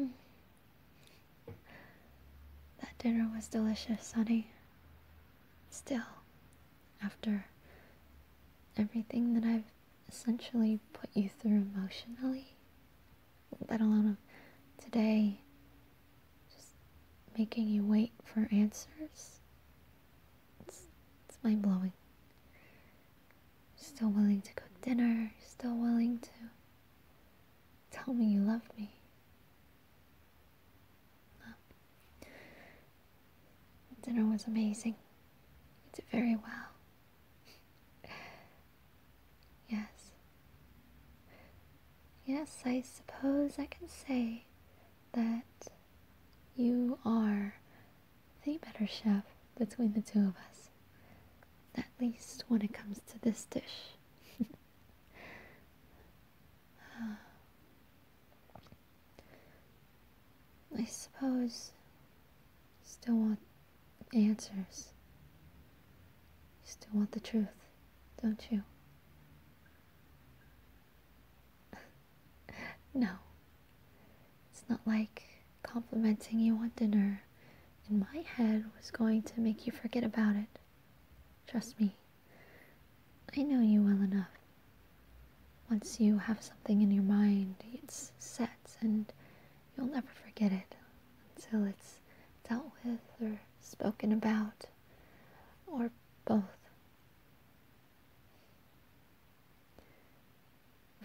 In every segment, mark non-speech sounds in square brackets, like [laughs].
Mm. That dinner was delicious, honey. Still, after everything that I've essentially put you through emotionally, let alone today, just making you wait for answers, it's mind blowing still willing to cook dinner, still willing to tell me you love me. Dinner was amazing. You did very well. [laughs] yes. Yes, I suppose I can say that you are the better chef between the two of us. At least when it comes to this dish. [sighs] I suppose still want answers. Still want the truth, don't you? [laughs] no, it's not like complimenting you on dinner in my head was going to make you forget about it. Trust me, I know you well enough. Once you have something in your mind, it's set and you'll never forget it until it's dealt with or spoken about or both.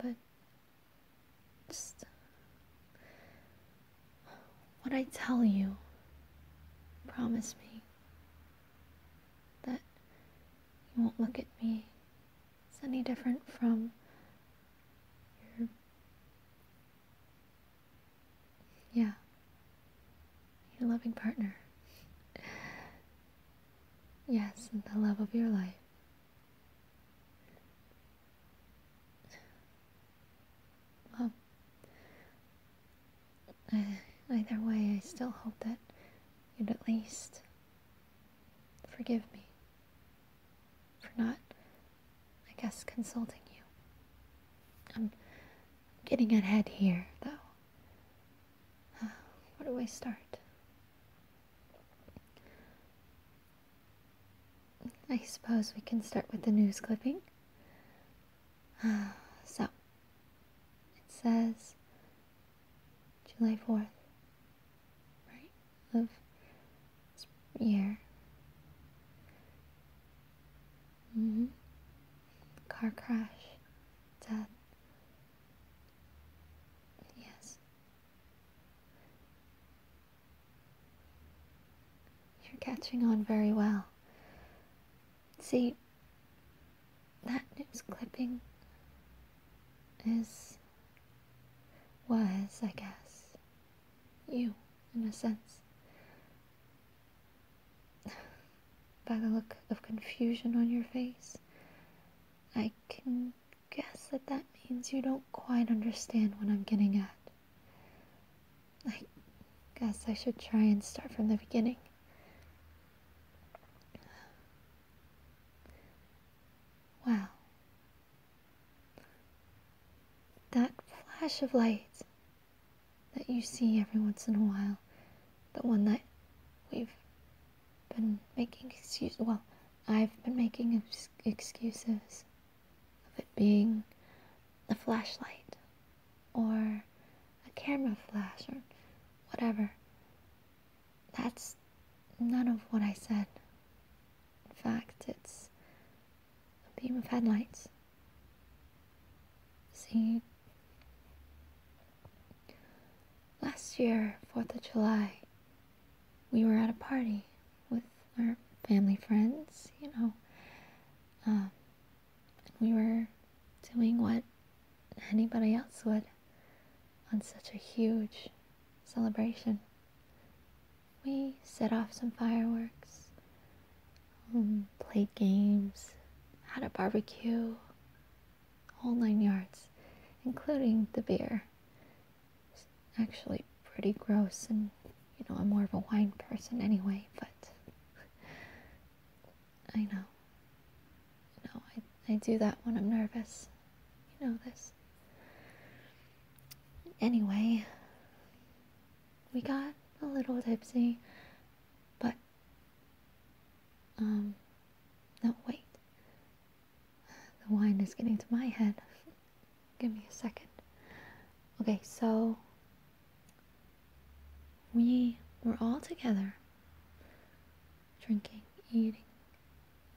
But just what I tell you, promise me that you won't look at me as any different from your. Yeah, your loving partner. Yes, the love of your life. Well, either way, I still hope that you'd at least forgive me for not, I guess, consulting you. I'm getting ahead here, though. Uh, where do I start? I suppose we can start with the news clipping. [sighs] So, it says July 4th, right, of year. Mm-hmm. Car crash, dead. Yes, you're catching on very well. See, that news clipping is, was, I guess, you, in a sense. [sighs] By the look of confusion on your face, I can guess that that means you don't quite understand what I'm getting at. I guess I should try and start from the beginning. Wow. That flash of light that you see every once in a while, the one that we've been making excuses. Well, I've been making excuses of it being a flashlight or a camera flash or whatever. That's none of what I said. In fact, it's a beam of headlights. See, Last year, 4th of July, we were at a party with our family friends, you know. Um, we were doing what anybody else would on such a huge celebration. We set off some fireworks, um, played games, had a barbecue, all nine yards, including the beer. It's actually pretty gross, and you know, I'm more of a wine person anyway, but [laughs] I know. know, I, I do that when I'm nervous. You know this. Anyway, we got a little tipsy, but um, no, wait. The wine is getting to my head. [laughs] Give me a second. Okay, so we were all together, drinking, eating,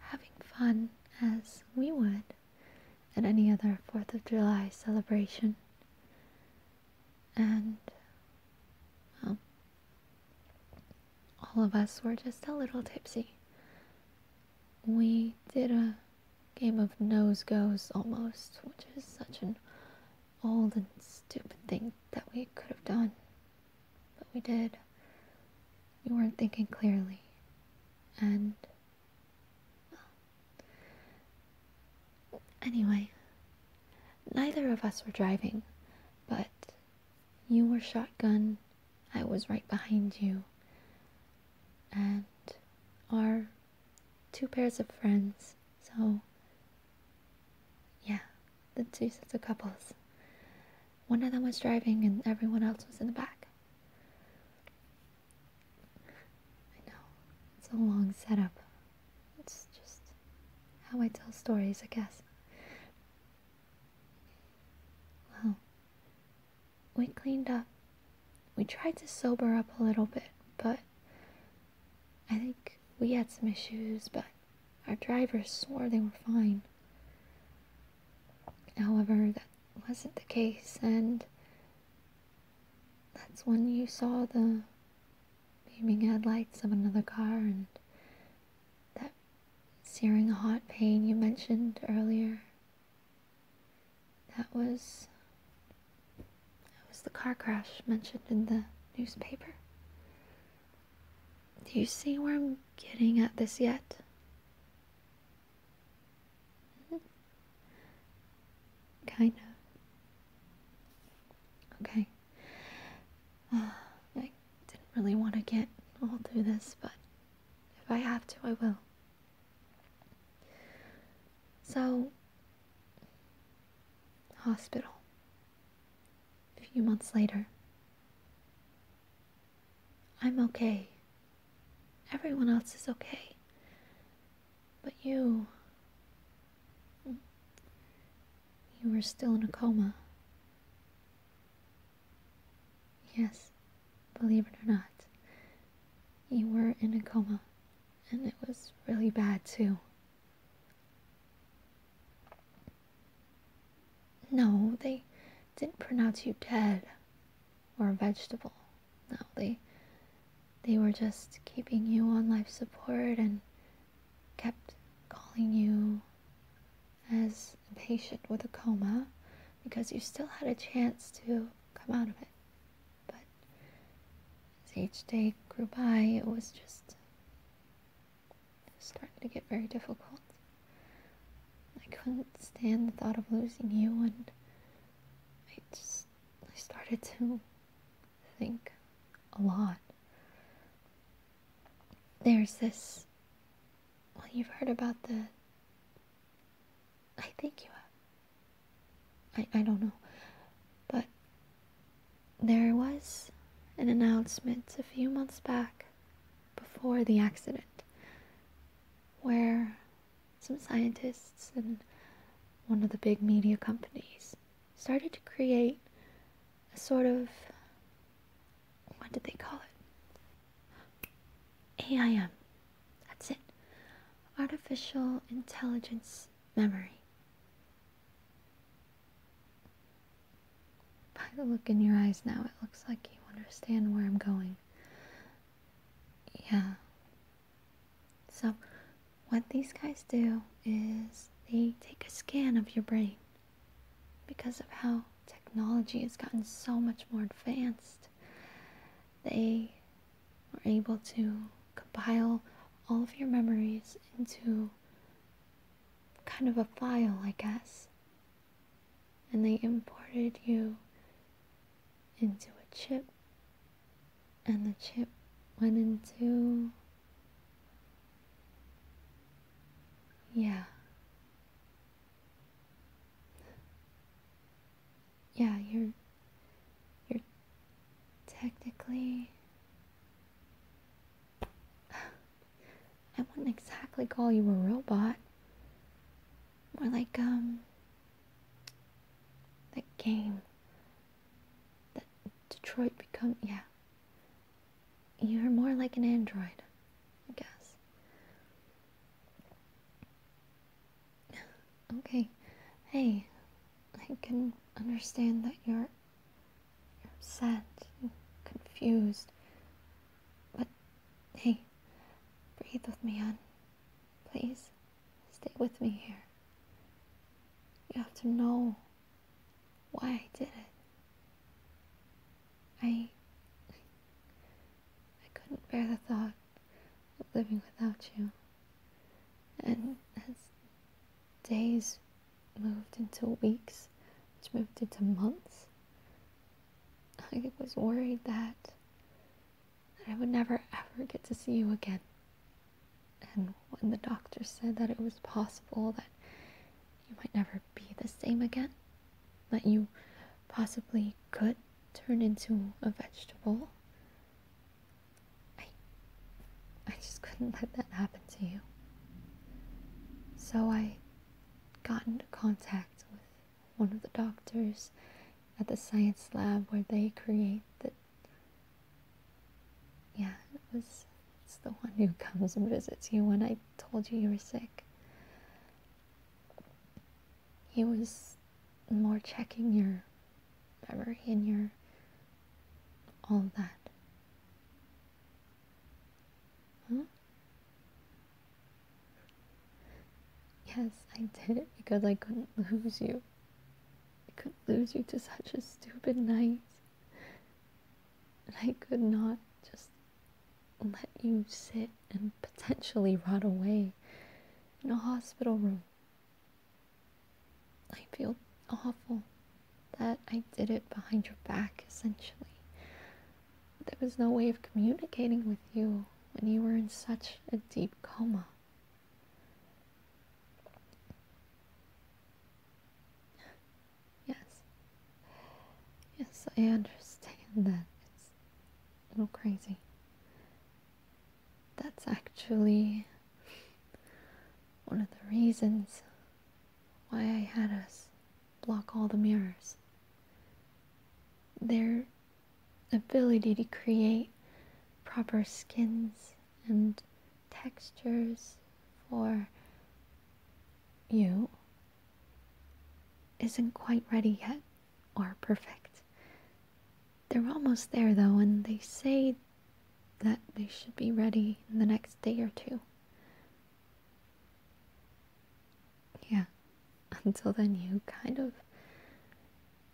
having fun as we would at any other 4th of July celebration. And, um, all of us were just a little tipsy. We did a game of nose goes almost, which is such an old and stupid thing that we could have done. But we did. We weren't thinking clearly. And. Anyway, neither of us were driving, but you were shotgun, I was right behind you. And are two pairs of friends, so yeah, the two sets of couples. One of them was driving and everyone else was in the back. I know, it's a long setup. It's just how I tell stories, I guess. Well, we cleaned up. We tried to sober up a little bit, but I think we had some issues, but our drivers swore they were fine. However, that wasn't the case, and that's when you saw the beaming headlights of another car and that searing hot pain you mentioned earlier. That was that was the car crash mentioned in the newspaper. Do you see where I'm getting at this yet? Mm-hmm. kind of. Okay. [sighs] I didn't really want to get all through this, but if I have to, I will. So, hospital. A few months later. I'm okay. Everyone else is okay. But you, you were still in a coma. Yes, believe it or not, you were in a coma, and it was really bad too. No, they didn't pronounce you dead or a vegetable. No, they they were just keeping you on life support and kept calling you as a patient with a coma because you still had a chance to come out of it. But as each day grew by, it was just starting to get very difficult. I couldn't stand the thought of losing you, and I just I started to think a lot. There's this. Well, you've heard about the. I think you have. I, I don't know. But there was an announcement a few months back before the accident where some scientists and one of the big media companies started to create a sort of what did they call it? AIM. That's it. Artificial intelligence memory. By the look in your eyes now, it looks like you understand where I'm going. Yeah. So, what these guys do is they take a scan of your brain because of how technology has gotten so much more advanced. They were able to compile all of your memories into kind of a file, I guess. And they imported you into a chip and the chip went into. Yeah. Yeah, you're. You're technically. [sighs] I wouldn't exactly call you a robot. More like, um, that game. That Detroit Become, yeah. You're more like an android, I guess. Okay, hey, I can understand that you're, you upset and confused. But hey, breathe with me, on, Please, stay with me here. You have to know why I did it. I. I couldn't bear the thought of living without you. And as days moved into weeks, which moved into months, I was worried that, that I would never ever get to see you again. And when the doctor said that it was possible that you might never be the same again, that you possibly could turn into a vegetable, I, I just couldn't let that happen to you. So I got into contact with one of the doctors at the science lab where they create the yeah, it was it's the one who comes and visits you when I told you you were sick. He was more checking your memory and your all of that. Yes, I did because I couldn't [laughs] lose you. I could lose you to such a stupid night. And I could not just let you sit and potentially rot away in a hospital room. I feel awful that I did it behind your back, essentially. there was no way of communicating with you when you were in such a deep coma yes. Yes, I understand that it's a little crazy. That's actually one of the reasons why I had us block all the mirrors. Their ability to create proper skins and textures for you isn't quite ready yet or perfect. They're almost there though, and they say that they should be ready in the next day or two. Yeah, [laughs] until then, you kind of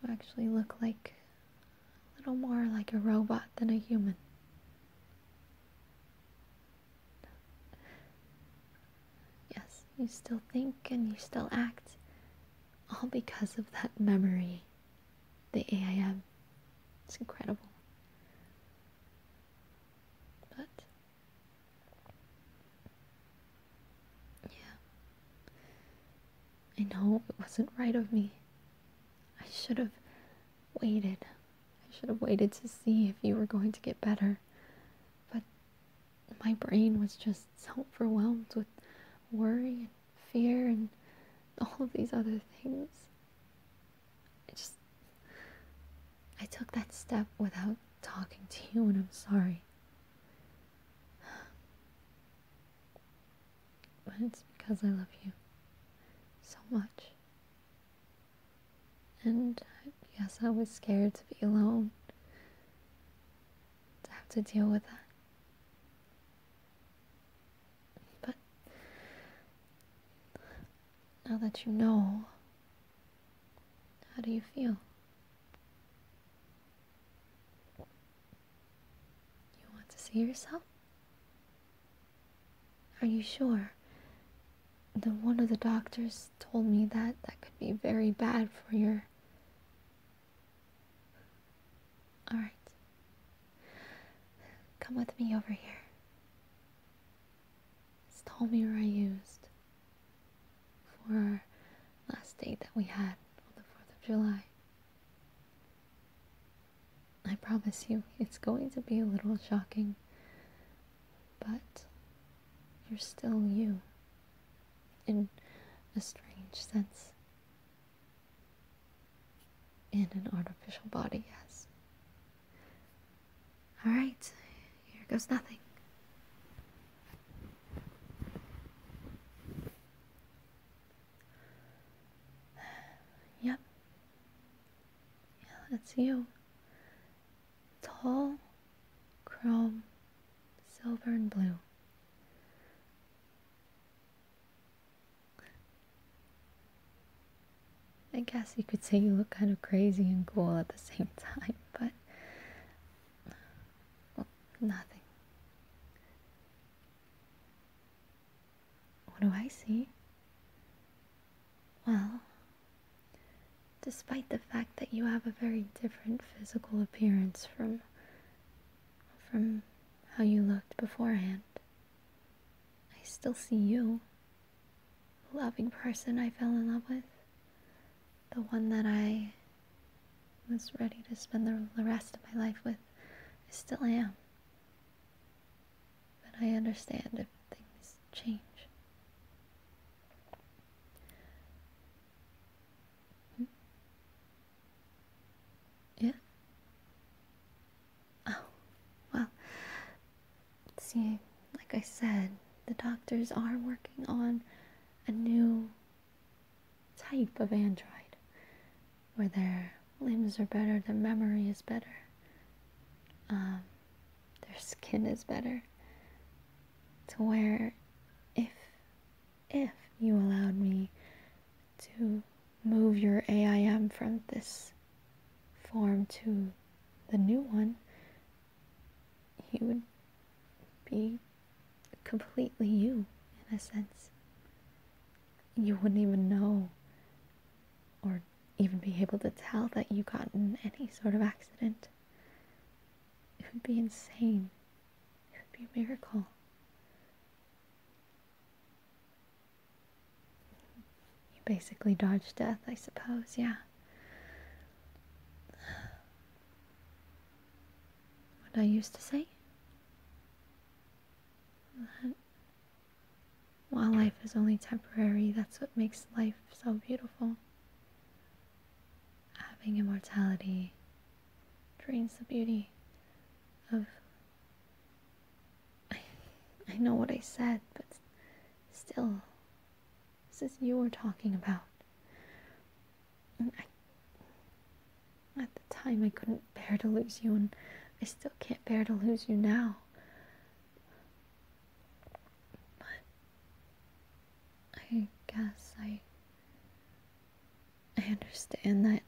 will actually look like a little more like a robot than a human. Yes, you still think and you still act, all because of that memory, the AI. It's incredible. But, yeah. I know it wasn't right of me I should have waited. I should have waited to see if you were going to get better. But my brain was just so overwhelmed with worry and fear and all of these other things. I just. I took that step without talking to you, and I'm sorry. But it's because I love you so much. And yes, I was scared to be alone, to have to deal with that. But now that you know, how do you feel? You want to see yourself? Are you sure? The one of the doctors told me that that could be very bad for your. Alright. Come with me over here. This tall mirror I used for our last date that we had on the 4th of July. I promise you, it's going to be a little shocking, but you're still you in a strange sense. In an artificial body, yes. Alright, here goes nothing. [sighs] yep. Yeah, that's you. Tall, chrome, silver, and blue. I guess you could say you look kind of crazy and cool at the same [laughs] time, but nothing. What do I see? Well, despite the fact that you have a very different physical appearance from from how you looked beforehand, I still see you. The loving person I fell in love with. The one that I was ready to spend the rest of my life with. I still am. But I understand if things change. Hmm? Yeah? Oh, well, see, like I said, the doctors are working on a new type of android, where their limbs are better, their memory is better, um, their skin is better, to where if if you allowed me to move your AIM from this form to the new one, you would be completely you in a sense. You wouldn't even know or even be able to tell that you got in any sort of accident. It would be insane. It would be a miracle. You basically dodged death, I suppose, yeah. What I used to say? while life is only temporary, that's what makes life so beautiful. Having immortality drains the beauty of. I, I know what I said, but still, this is you were talking about at the time, I couldn't bear to lose you, and I still can't bear to lose you now. But I guess I. I understand that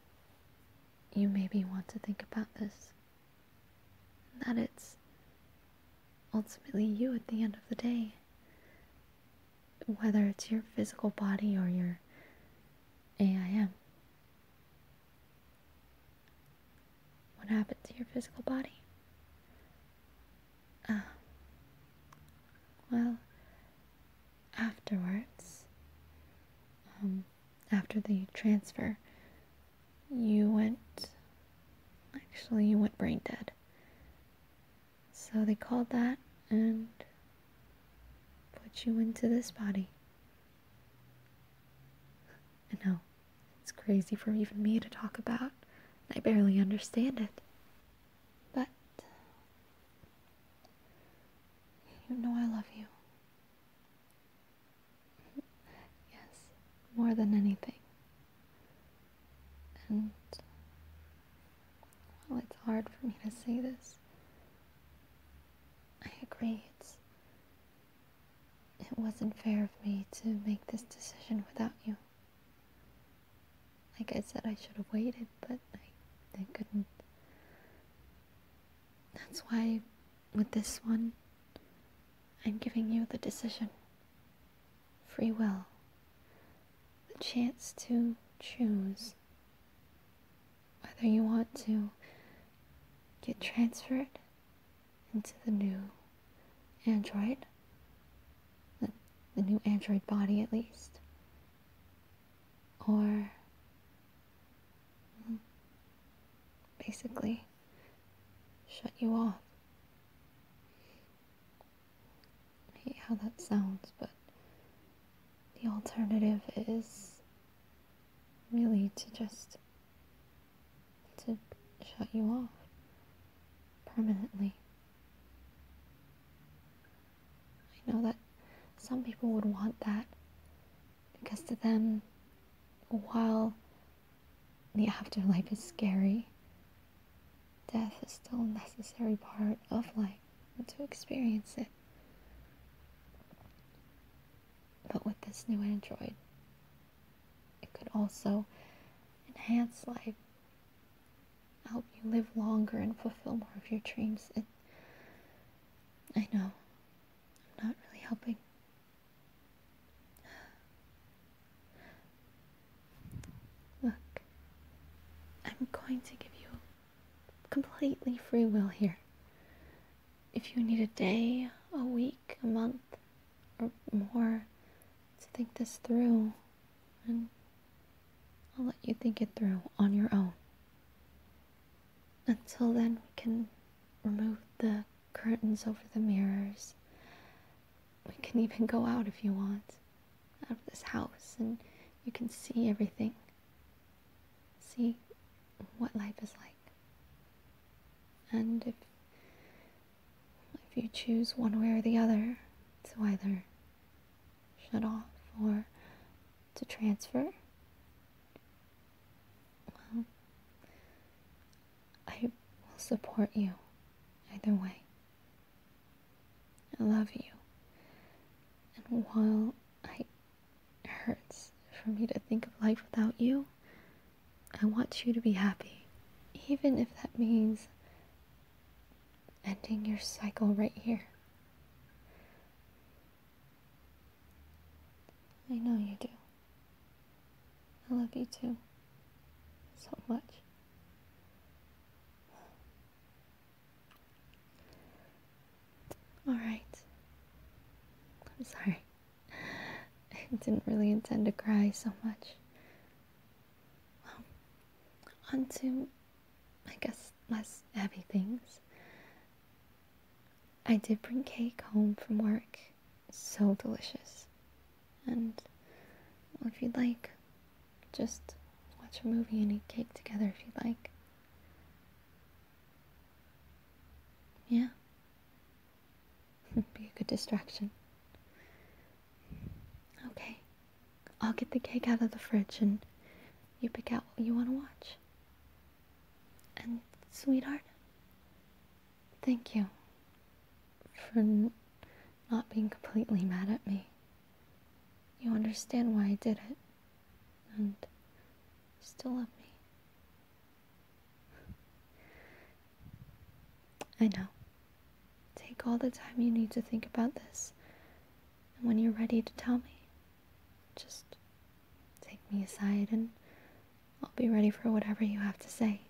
you maybe want to think about this. That it's ultimately you at the end of the day whether it's your physical body or your AIM. What happened to your physical body? Um, well, afterwards, um, after the transfer, you went. Actually, you went brain dead. So they called that and put you into this body. I know, it's crazy for even me to talk about. I barely understand it. But you know I love you. [laughs] yes, more than anything. And well, it's hard for me to say this. I agree, it's. It wasn't fair of me to make this decision without you. Like I said, I should have waited, but I, I couldn't. That's why, with this one, I'm giving you the decision. Free will. The chance to choose whether you want to get transferred into the new Android, the, the new Android body at least, or basically shut you off. I hate how that sounds, but the alternative is really to just to shut you off permanently. I know that some people would want that because to them, while the afterlife is scary Death is still a necessary part of life, to experience it. But with this new android, it could also enhance life, help you live longer and fulfill more of your dreams. It, I know, I'm not really helping. Look, I'm going to give you completely free will here. If you need a day, a week, a month, or more to think this through, and I'll let you think it through on your own. Until then, we can remove the curtains over the mirrors we can even go out if you want, out of this house, and you can see everything. See what life is like. And if if you choose one way or the other to either shut off or to transfer, well, I will support you either way. I love you. And while it hurts for me to think of life without you, I want you to be happy. Even if that means ending your cycle right here. I know you do. I love you too. So much. All right. I'm sorry. [laughs] I didn't really intend to cry so much. Well, on I guess, less heavy things. I did bring cake home from work. So delicious. And if you'd like, just watch a movie and eat cake together if you'd like. Yeah. [laughs] Be a good distraction. Okay. I'll get the cake out of the fridge and you pick out what you want to watch. And, sweetheart, thank you for not being completely mad at me. You understand why I did it, and still love me. I know. Take all the time you need to think about this, and when you're ready to tell me, just take me aside and I'll be ready for whatever you have to say.